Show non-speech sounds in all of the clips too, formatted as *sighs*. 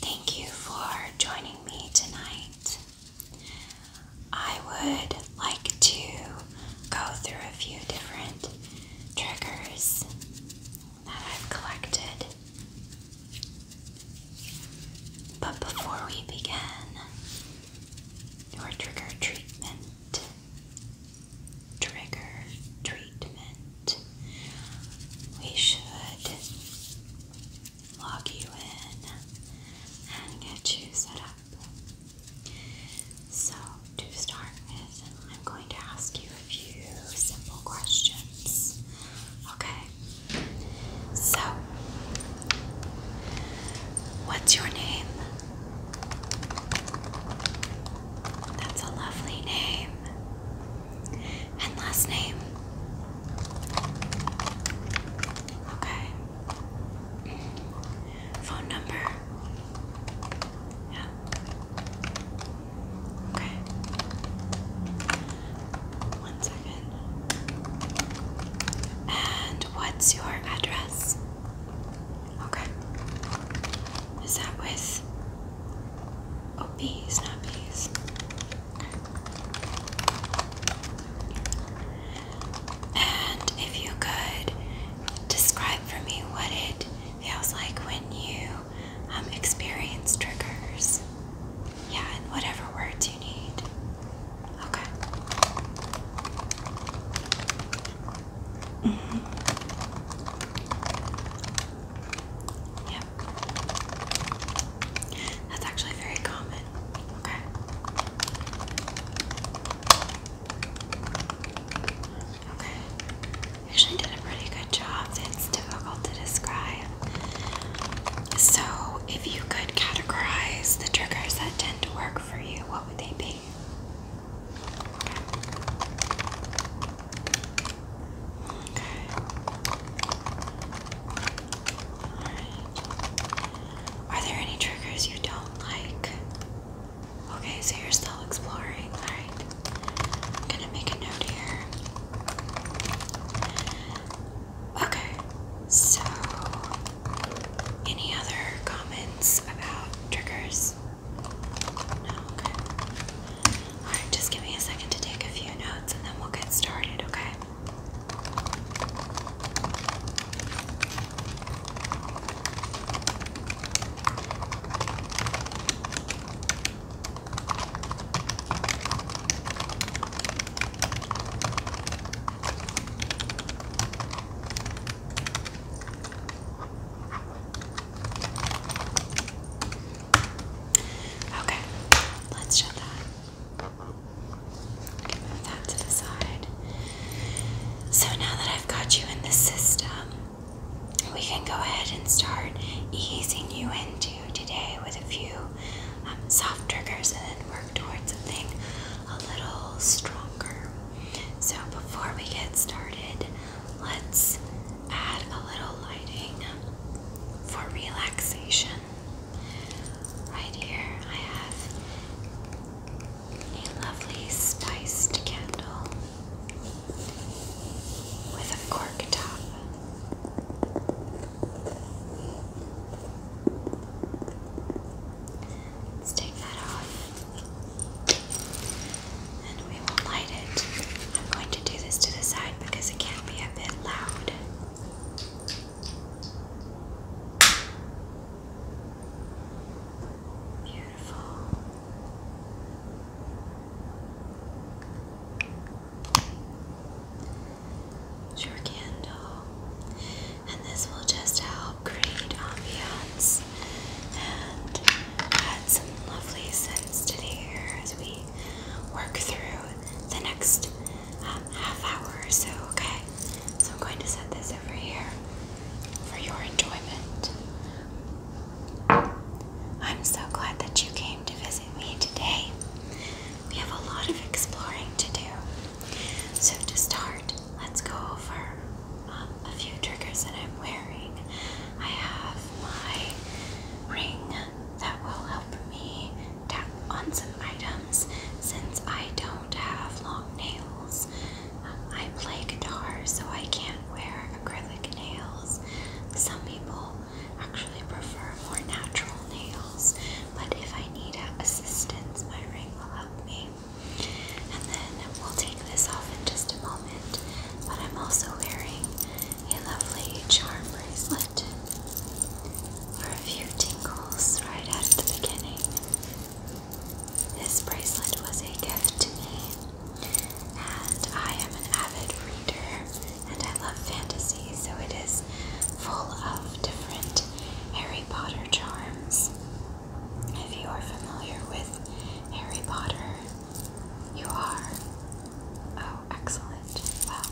Thank you for joining me tonight. I would like to go through a few different triggers that I've collected. But before we begin your trigger treatment, trigger treatment. We should log you in and get you set up. So, to start with, I'm going to ask you a few simple questions. Okay? So, what's your name? That's a lovely name. And last name. Okay. Phone number. Yeah. Okay. One second. And what's your address? Okay. Is that with Oh, bees, not bees. And if you could describe for me what it feels like when you um, experience triggers. Yeah, whatever words you need. Okay. Yep. That's actually very common. Okay. Okay. Actually did a pretty good job. It's difficult to describe. So if you could categorize the triggers that tend to work for you, what would they be? Are there any triggers you don't like? Okay, so you're still exploring. Alright. gonna make a note here. Okay, so any other comments about triggers? Alright, just give me a second to take a few notes and then we'll get started, Okay. Okay, let's shut that. move that to the side. So now that I've got you in the system, we can go ahead and start easing you into today with a few um, soft triggers and then work towards something a little stronger. So before we get started, let's add a little lighting for relaxation. Right here, I have a lovely spiced candle with a cork top. Let's take that off. And we will light it. I'm going to do this to the side because it can be a bit loud. Beautiful. Your candle, and this will just help create ambiance house some lovely scents today here as we work through the next um, half hour or so, okay? So I'm going to set this over here for your enjoyment. I'm so glad that you came to visit me today. We have a lot of exploring to do. So, to start, let's go over um, a few triggers that I'm wearing I have my ring that will help me tap on some items since I don't have long nails. Um, I play guitar, so I can't wear acrylic nails. Some people actually prefer more natural nails, but if I need assistance, my ring will help me. And then we'll take this off in just a moment moment, but I'm also wearing a lovely charm bracelet for a few tingles right at the beginning. This bracelet was a gift to me, and I am an avid reader and I love fantasy, so it is full of different Harry Potter charms. If you are familiar with Harry Potter, you are. Oh, excellent. Well,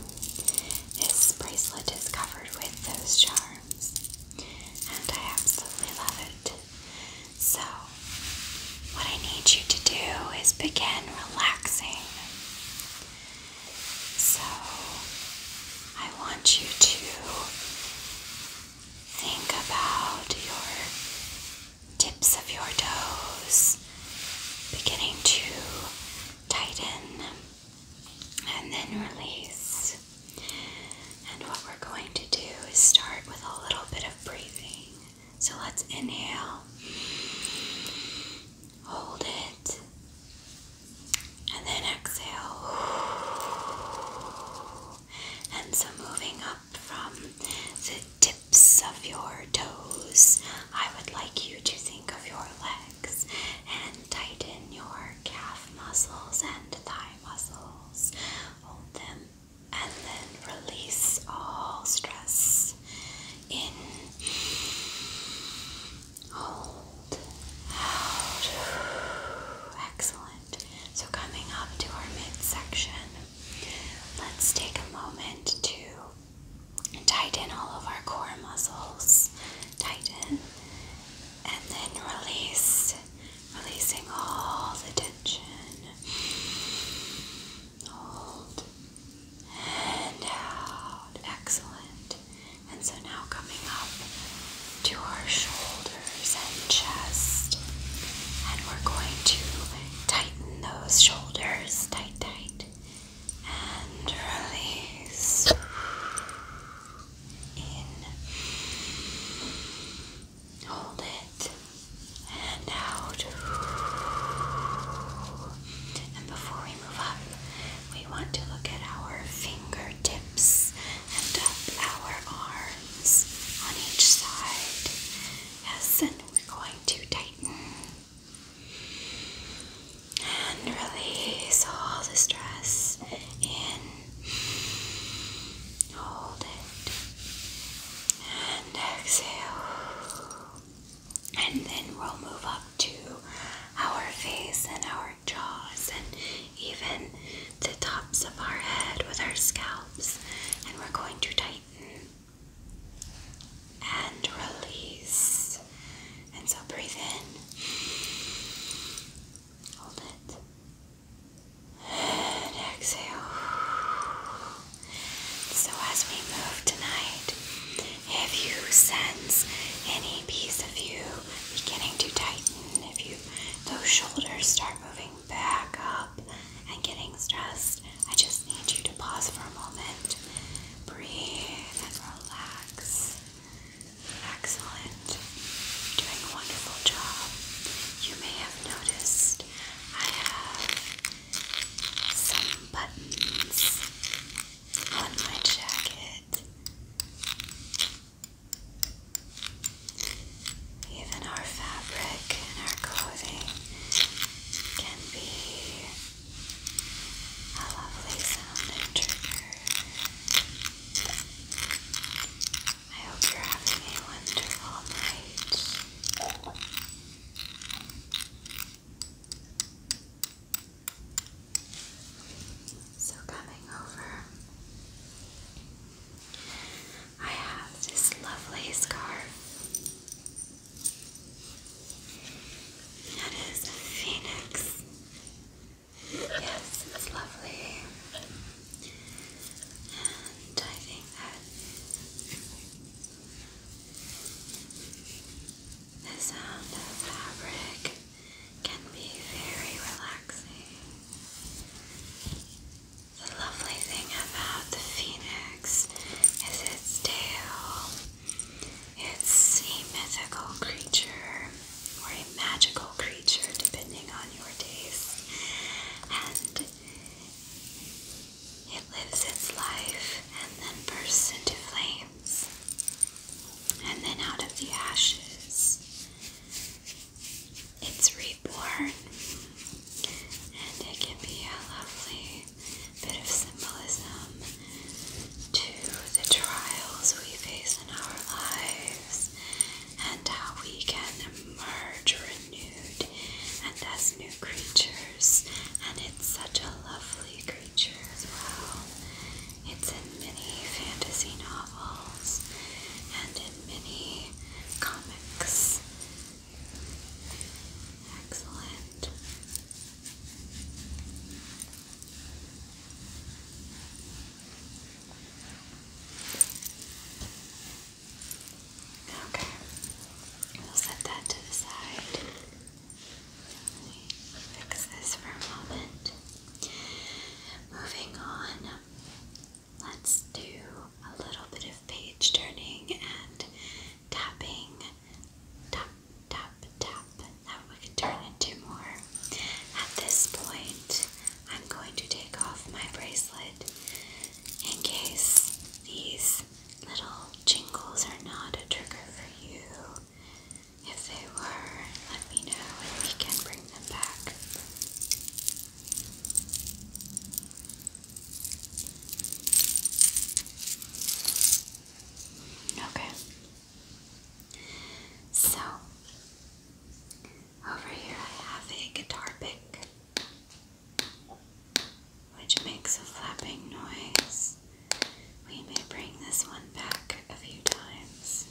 this bracelet is covered with those charms, and I absolutely love it. So, what I need you to do is begin relaxing. So, I want you to think about your tips of your toes beginning to tighten and then release. And what we're going to do is start with a little bit of breathing. So let's inhale, hold it, and then exhale. And so moving up from the tips of your toes, I would like you to think of your legs and tighten your calf muscles and thigh muscles. Hold them and then release all stress. In, hold, out. Excellent. So coming up to our midsection, Let's take a moment to tighten all of our core muscles. Tighten and then release, releasing all the tension. Hold and out. Excellent. And so now coming up to our shoulders and chest, and we're going to Tighten those shoulders tight, tight, and release. In, hold it, and out. And before we move up, we want to look at our fingertips and up our arms on each side. Yes, and we're going to tighten and release all the stress in. Hold it and exhale. And then we'll move up to our face and our jaws and even the tops of our head with our scalps. And we're going to tighten and release. And so breathe in. Hold it. And exhale. So as we move tonight, if you sense any piece of you beginning to tighten, if you those shoulders start moving back up and getting stressed, I just need you to pause for a moment, breathe, and relax. Excellent. doing a wonderful job. You may have noticed I have some buttons on my jacket. Even our fabric and our clothing can be a lovely sound trigger. I hope you're having a wonderful night. So, coming over, I have this lovely scarf. That is a phoenix. Yes, it's lovely. And I think that the sound of fabric can be very relaxing. The lovely thing about the phoenix is its tail. It's a mythical creature or a magical creature, depending on your taste. And it lives its life and then bursts into flames and then out of the ashes. It's reborn, and it can be a lovely bit of symbolism to the trials we face in our lives and how we can emerge renewed and as new creatures. And it's such a lovely creature as well. It's in many fantasy novels and in many comics Excellent. Okay, we'll set that to the side. fix this for a moment. Moving on, let's do a little bit of page turning and tapping. Tap, tap, tap. That we can turn into more. At this point, I'm going to take off my bracelet in case these little jingles are not a trigger for you. If they were, let me know and we can bring them back. Okay. So, over here I have a guitar pick, which makes a flapping noise. We may bring this one back a few times.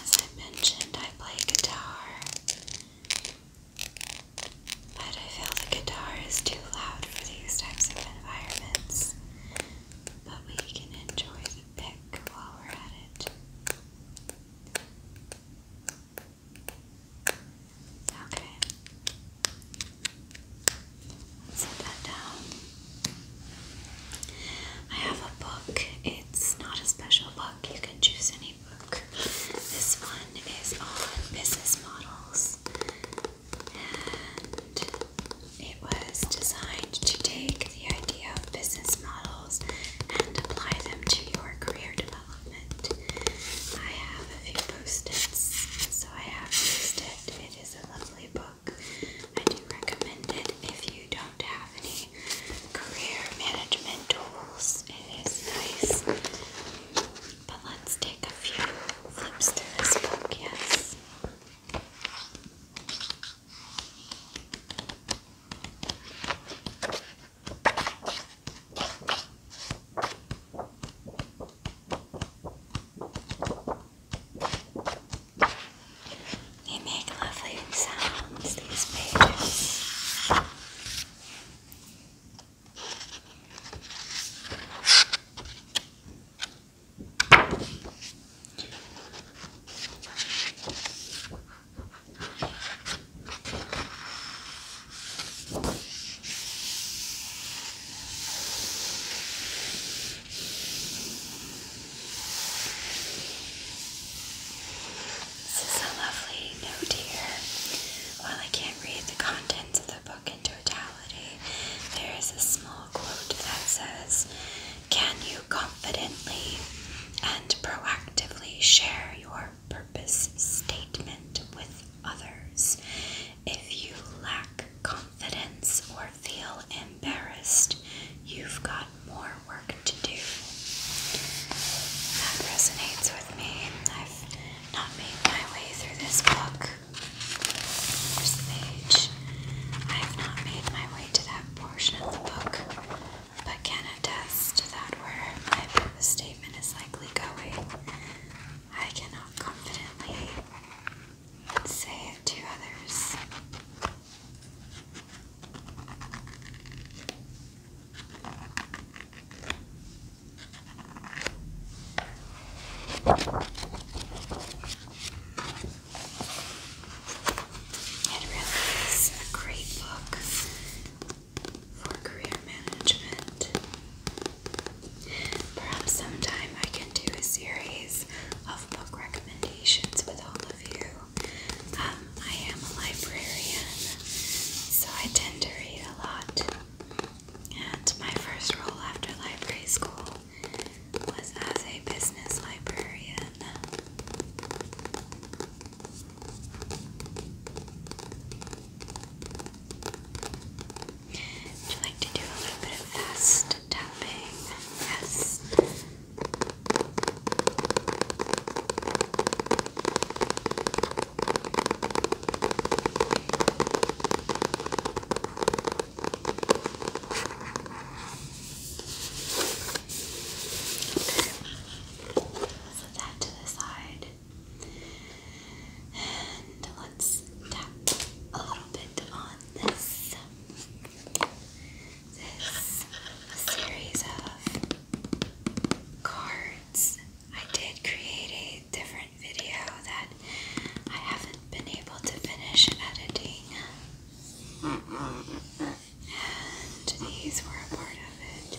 As I mentioned, I play guitar, but I feel the guitar is too loud for these types of environments. But we can enjoy the pick while we're at it. Okay. set that down. I have a book. It's not a special book. You can choose any book. This one is on business models. And it was designed to take the idea of business models and apply them to your career development. I have a few post-its. So I have used it. It is a lovely book. I do recommend it if you don't have any career management tools. It is nice. But let's take a few flips through this book, yes. They make lovely sounds, these pages. This is a lovely note here. While I can't read the contents of the book in totality, there is a small quote that says, Can you confidently and proactively share your purpose statement with others? If you lack confidence or feel embarrassed, you've got more work to do. That resonates with me. I've not made my way through this book. page. I have not made my way to that portion of the book, but can attest to that where my statement is likely going. I cannot confidently say it to others. It really is a great book for career management. Perhaps sometime I can do a series of book recommendations with all of you. Um, I am a librarian, so I tend to read a lot. And my first role after library school was as a business librarian. Would you like to do a little bit of fast tapping? Yes. Okay. So that to the side. And let's tap a little bit on this. This series of cards. I did create a different video that I haven't been able to finish editing. And these were a part of it.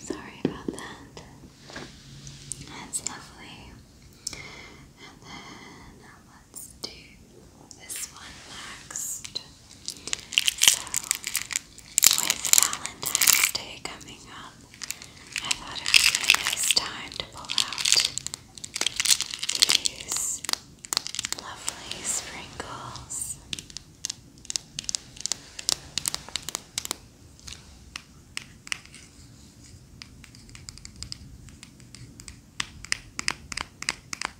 Sorry about that. That's lovely. And then uh, let's do this one next. So, with Valentine's Day coming up, I thought it would be a nice time to pull out these lovely sprinkles.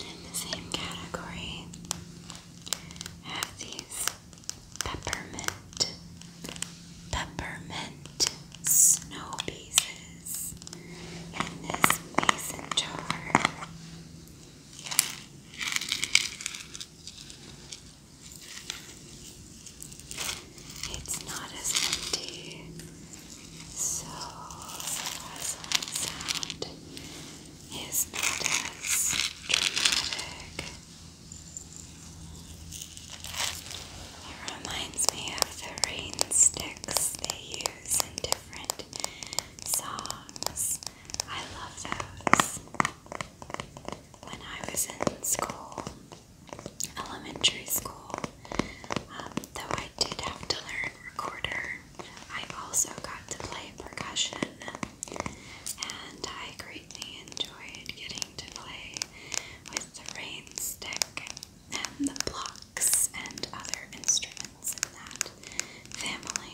In the same category, have these peppermint, peppermint snow pieces in this mason jar. It's not as empty, so the rustling sound is not as dramatic. It reminds me of the rain they use in different songs. I love those. When I was in school, elementary school. Um, though I did have to learn recorder, I also got to play percussion, and I greatly enjoyed getting to play with the rain and the blocks and other instruments in that family.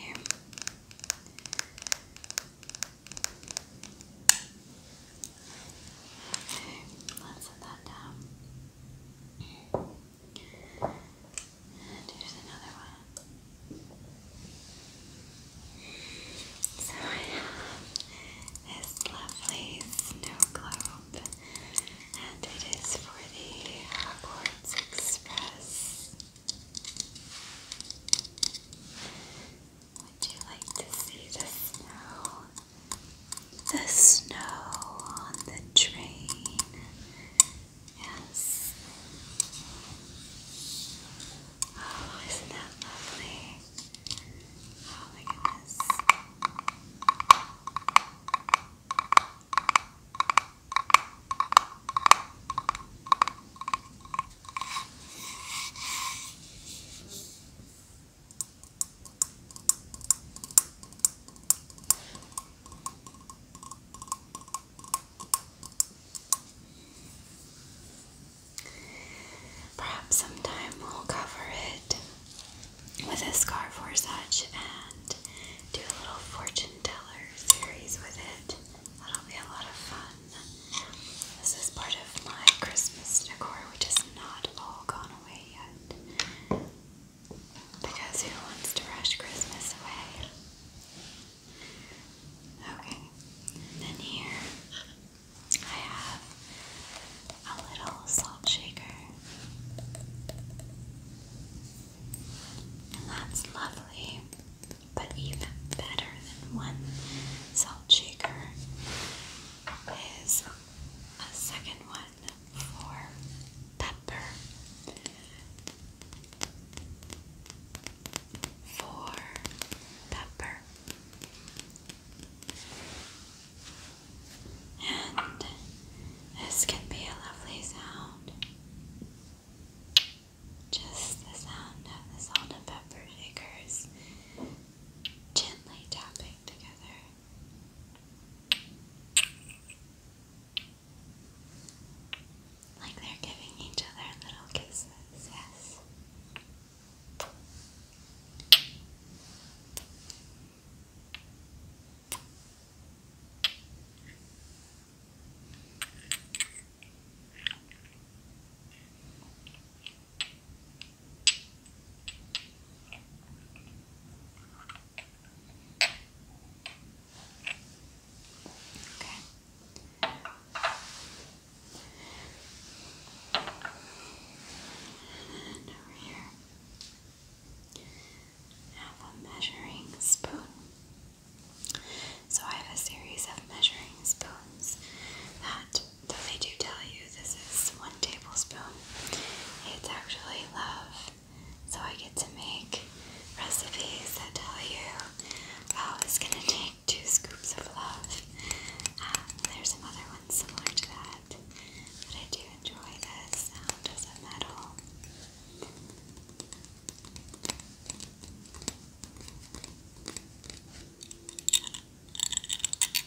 Okay, let's set that down. And here's another one. So I have this lovely snow globe, and it is for the Hogwarts Express. Would you like to see the snow? The snow on the train. Yes. Oh, isn't that lovely? Oh my goodness. Perhaps sometime we'll cover it with a scarf for such and do a little fortune teller series with it. That'll be a lot of fun. This is part of my Christmas decor, which is not all gone away yet. Because who wants to rush Christmas away? Okay, then here I have a little salt shaker. And that's lovely, but even better than one salt shaker is a second one for pepper, for pepper, and this can be a lovely sound. Just the sound of the salt and pepper shakers gently tapping together. Like they're giving each other little kisses, yes. Okay. And over here, I have a measuring spoon. So I have a series of measuring spoons that though they do tell you this is one tablespoon, it's actually love. So I get to make recipes that tell you, I was gonna take two scoops of love. Um, there's another one similar to that, but I do enjoy the sound of the metal.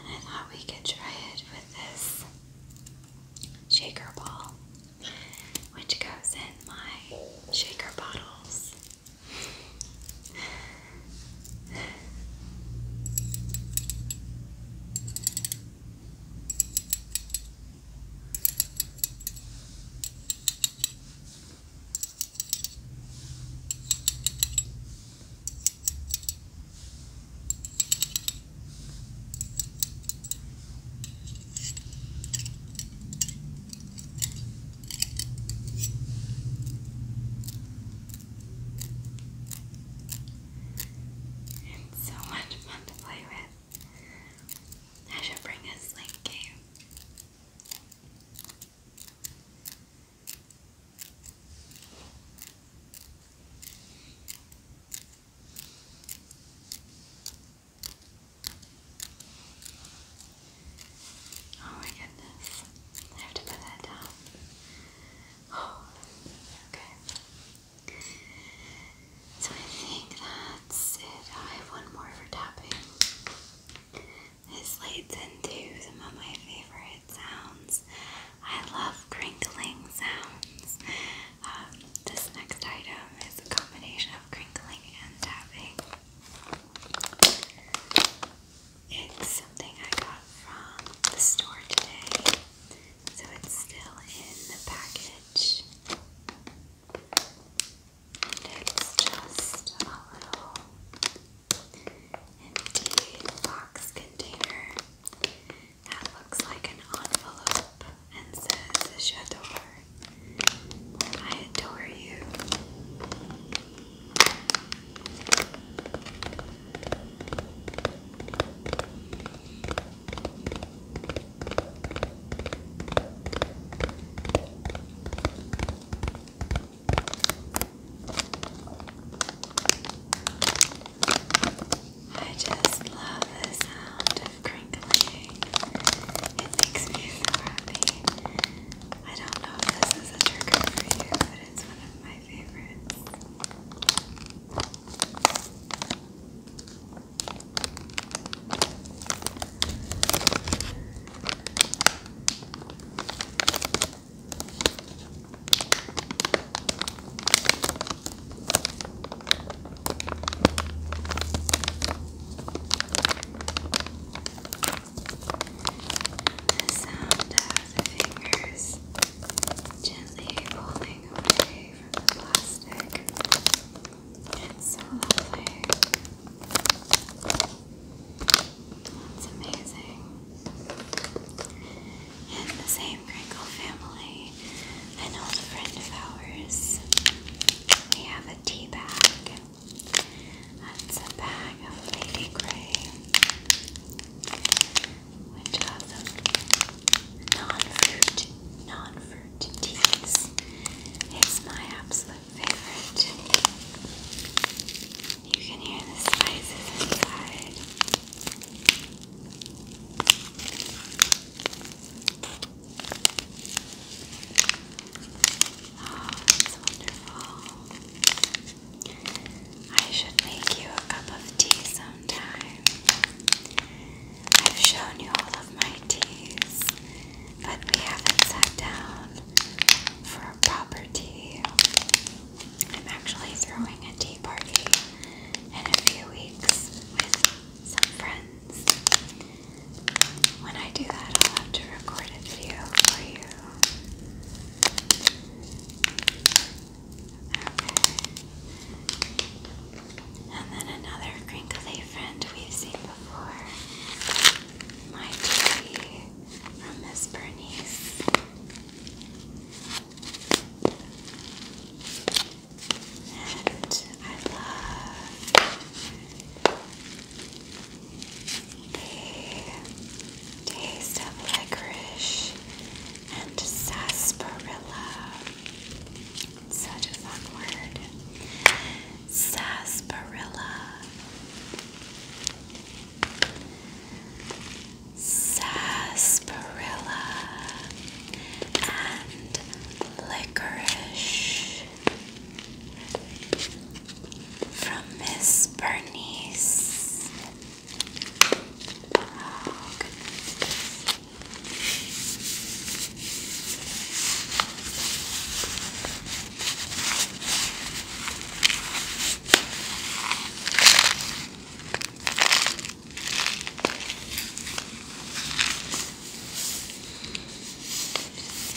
And I thought we could try it with this shaker ball, which goes in my shaker bottles. It's so much fun to play with. I should bring a sling game. Oh my goodness. have to put that down. Oh, okay. So I think that's it. I have one more for tapping. This leads into some of my favorite sounds. I love crinkling sounds. Um, this next item is a combination of crinkling and tapping. It's something I got from the store today, so it's still in the package. It's just a little empty box container that looks like an envelope and says J'adore. I adore you. I just love the sound of crinkling. It makes me so happy. I don't know if this is a trigger for you, but it's one of my favorites. The sound of fingers gently pulling away from the plastic it's so lovely. That's amazing. In the same crinkle family, an old friend of ours, we have a tea bag. That's a bag of Lady Grey, which are non-fruit, non-fruit teas. It's my absolute favorite. You can hear the spices inside. Oh, that's wonderful. I should make you a cup of tea sometime. I've shown you all of my teas, but we haven't sat down for a proper tea. I'm actually throwing a tea party in a few weeks with some friends. When I do that, I'll have to record a for you. Okay. And then another crinkly friend we've seen before. My tea from Miss Bernice. And I love the taste of licorice and sarsaparilla. Such a fun word sarsaparilla, sarsaparilla, and licorice from Miss Bernice. Oh,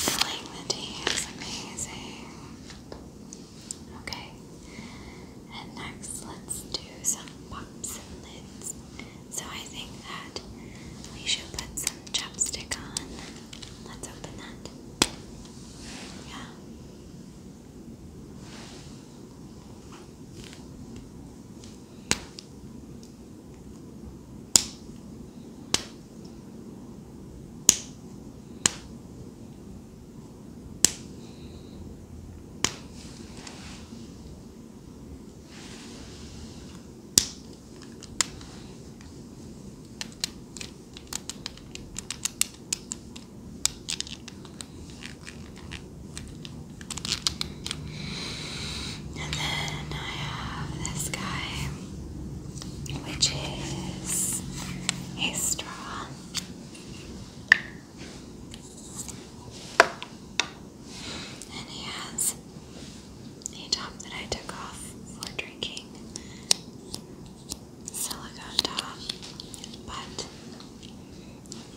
Filling the tea is amazing. Okay, and next let's do some pops and lids. So I think that we should put some chapstick on. Let's open that. Yeah. And then I have this guy, which is a straw. And he has a top that I took off for drinking silicone top, but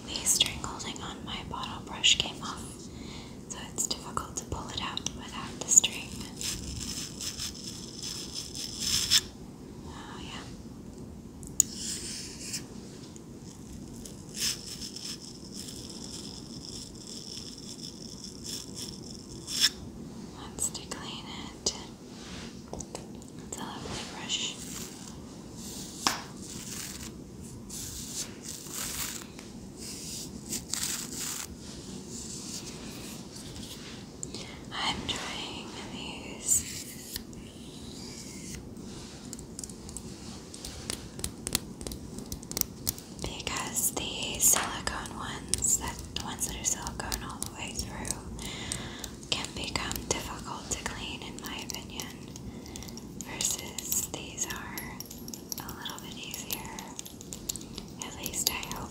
the string holding on my bottle brush came off, so it's difficult to pull it out without the string. Oh, yeah. Wants to clean it. It's a lovely brush. I'm trying these because the silicone ones, that the ones that are silicone all the way through, can become difficult to clean, in my opinion. Versus these are a little bit easier. At least I hope.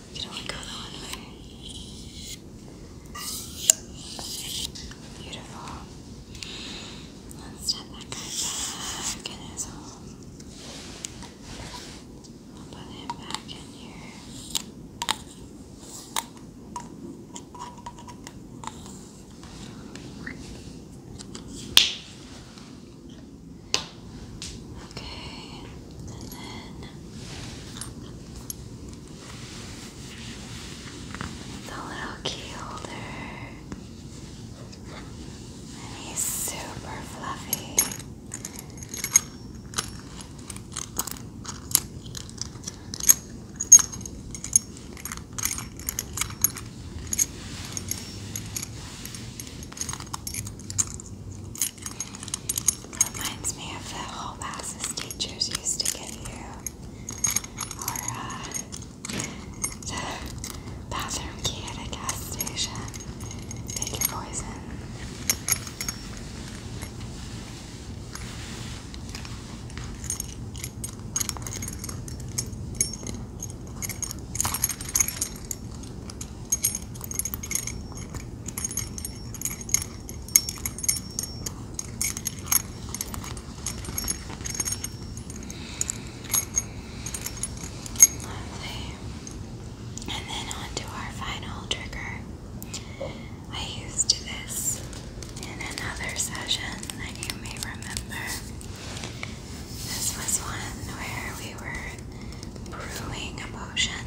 You can only go the one way. Beautiful. Let's step back in his home. We'll put him back in here. Okay, and then the little key holder. And he's super fluffy. Reminds me of the whole classes teachers used to give you, or uh, the bathroom key at a gas station. Pick your poison. Lovely. And then on our final trigger. I used this in another session that you may remember. This was one where we were brewing a potion,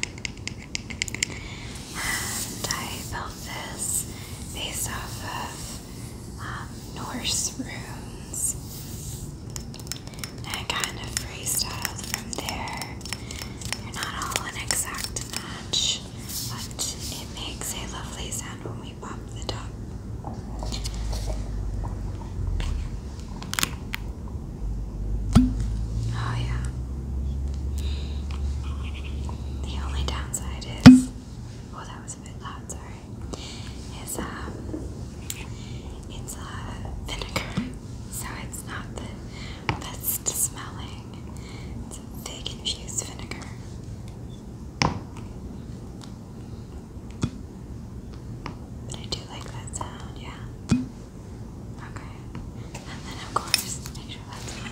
and I built this based off of um, Norse runes. And kind of freestyled from there. They're not all an exact match, but it makes a lovely sound when we pop the top. Oh, yeah. The only downside is, oh, that was a bit loud, sorry. Is, um, it's a uh, vinegar, so it's not the best smelling. It's a fig infused vinegar. But I do like that sound, yeah. Okay. And then, of course, make sure that's on.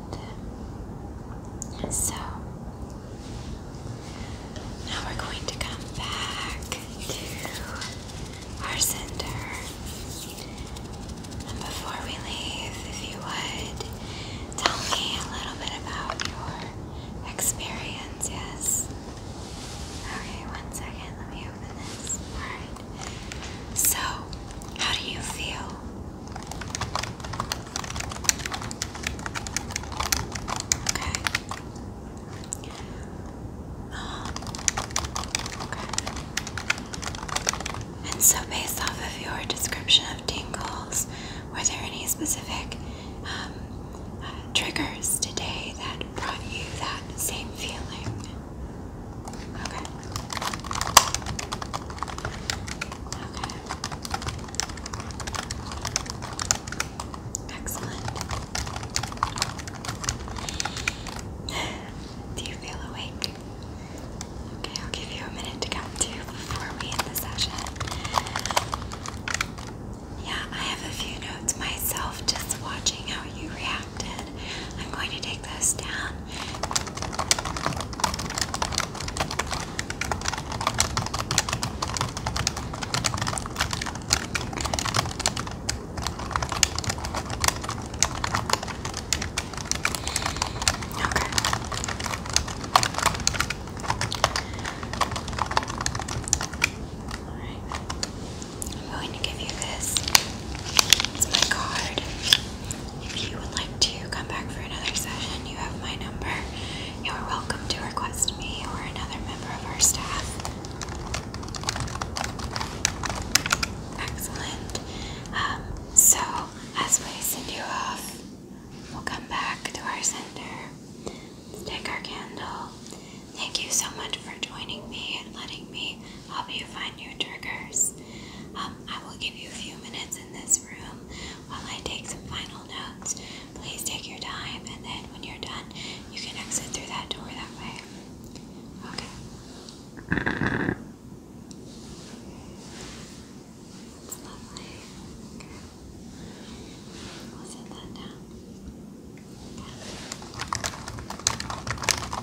so now we're going to come back to our center. And before we leave, if you would tell me a little bit about your experience, yes? Okay, one second, let me open this. Alright. So, how do you feel Okay. Um, okay. And so, based off of your description of tingles, were there any specific um, triggers today that brought you that same feeling? Okay. Excellent. *sighs* Do you feel awake? Okay, I'll give you a minute to come to before we end the session. Yeah, I have a few notes myself just watching how you reacted. I'm going to take those down all right. I'm going to give you this. It's my card. If you would like to come back for another session, you have my number. You are welcome to request me or another member of our staff. Excellent. Um, so, as we send you off, we'll come back to our center, take our candle. Thank you so much for joining me and letting me help you find your triggers. Um, I will give you a few minutes in this room while I take some final notes. Please take your time, and then when you're done, you can exit through that door that way. Okay. That's lovely. Okay. We'll set that down.